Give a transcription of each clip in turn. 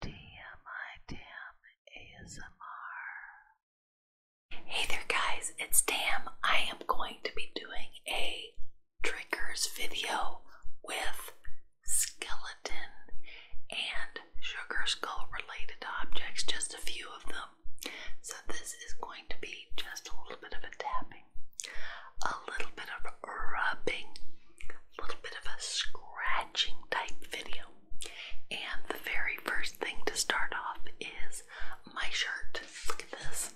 DMI Hey there, guys, it's Dam. I am going to be doing a triggers video with skeleton and sugar skull related objects, just a few of them. So, this is going to be just a little bit of a tapping, a little bit of rubbing, a little bit of a scratching type video. And the very first thing to start off is my shirt. Look at this.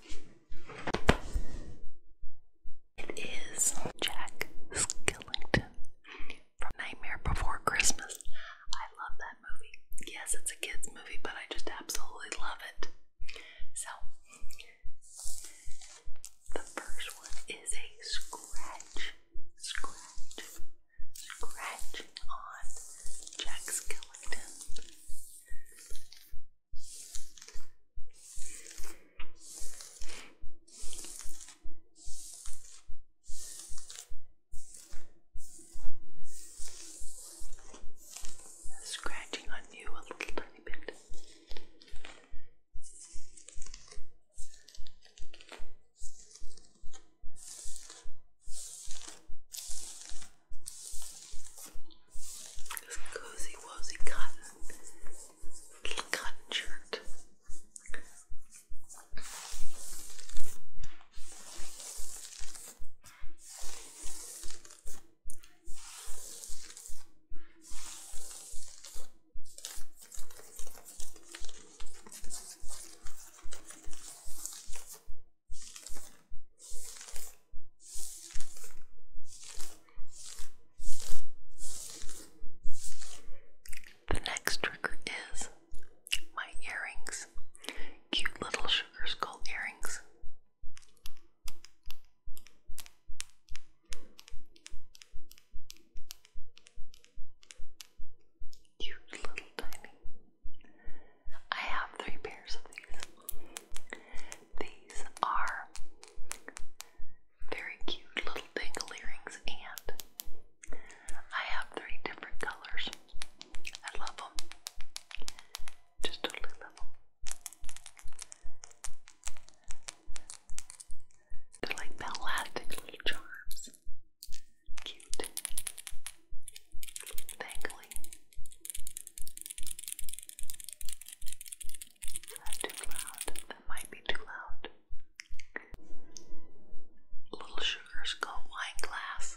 It is Jack Skellington from Nightmare Before Christmas. I love that movie. Yes, it's a kids' movie, but I just absolutely love it. So, the first one is a scratch, scratch, scratch on Jack Skellington. Scratching on you a little tiny bit. This cozy wozy cotton little cotton shirt. The next trigger is my earrings. Cute little sugar skull earrings. Cute little tiny. I have three pairs of these. These are very cute little dangle earrings, and I have three different colors. I love them. Just totally love them. They're like the elastic little charms. Cute. Dangling. Is that too loud? That might be too loud. Little sugar skull wine glass.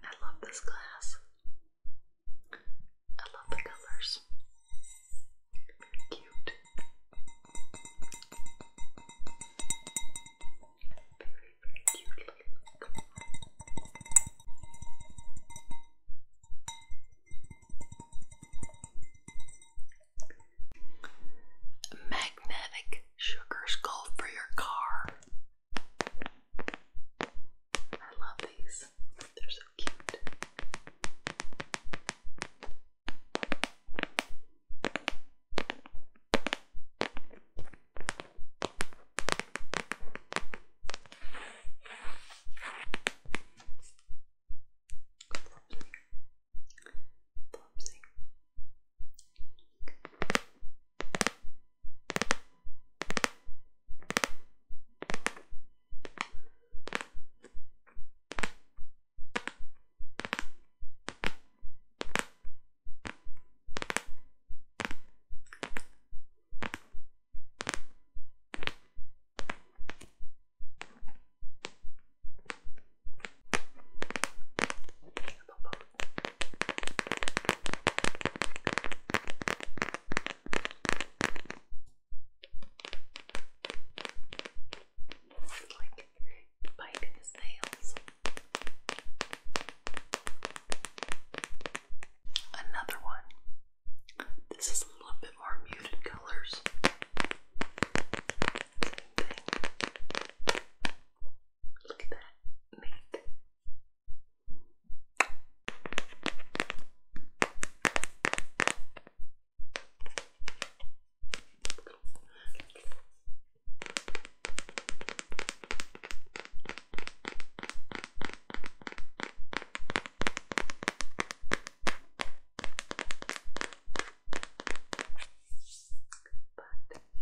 I love this glass. I love the colors. Very cute. Very, very cute looking. Magnetic sugar skull for your car. I love these. They're so cute. Popsy. Popsy. Popsy. It's like biting his nails. Another one this is a little bit more muted colors. Look at that. That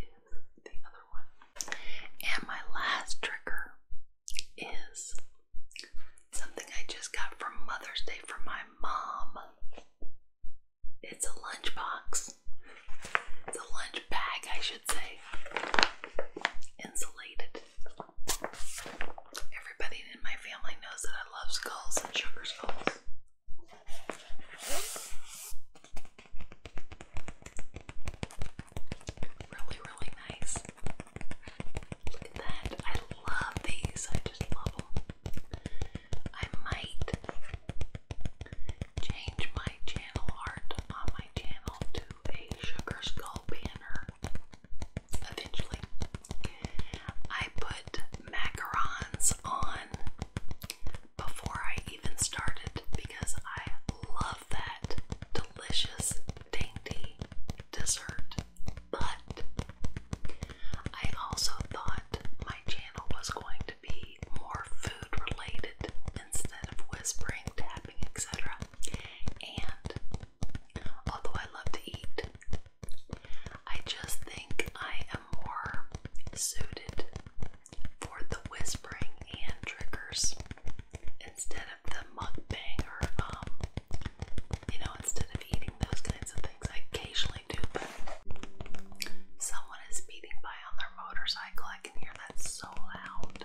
is the other one. And my last trigger is something I just got for Mother's Day from my mom. It's a lunchbox. It's a lunch bag, I should say. Insulated. Everybody in my family knows that I love skulls and sugar skulls. Really, really nice. Look at that. I love these. I just love them. I might change my channel art on my channel to a sugar skull banner eventually. I put macarons on before I even started because I love that delicious, dainty dessert. But I also thought my channel was going to be more food related instead of whispering, tapping, etc. And Although I love to eat, I just think I am more suited for the whispering and triggers instead of the mukbang or, um, you know, instead of eating those kinds of things. I occasionally do, but someone is speeding by on their motorcycle. I can hear that so loud.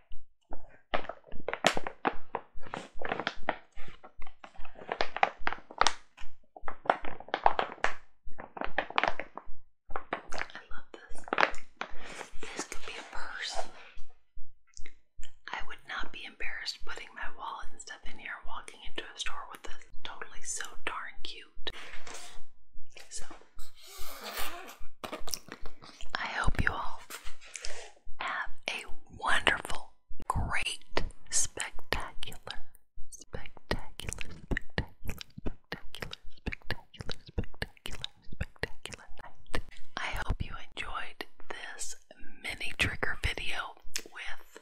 I love this. This could be a purse. I would not be embarrassed putting my wallet and stuff in here, walking into a store with this. Totally so darn cute. So I hope you all have a wonderful, great, spectacular, spectacular, spectacular, spectacular, spectacular, spectacular, night. I hope you enjoyed this mini trigger video with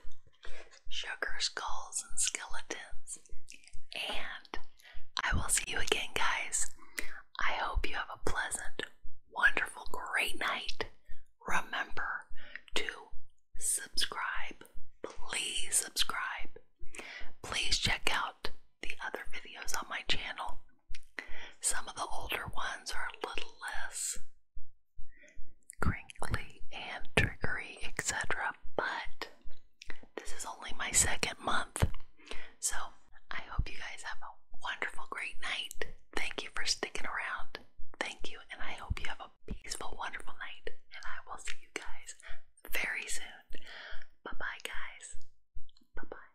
sugar skulls and skeletons and I will see you again, guys. I hope you have a pleasant, wonderful, great night. Remember to subscribe. Please subscribe. Please check out the other videos on my channel. Some of the older ones are a little less crinkly and trickery, etc., but this is only my second month. So I hope you guys have a wonderful, great night. Thank you for sticking around. Thank you, and I hope you have a peaceful, wonderful night. And I will see you guys very soon. Bye bye, guys. Bye bye.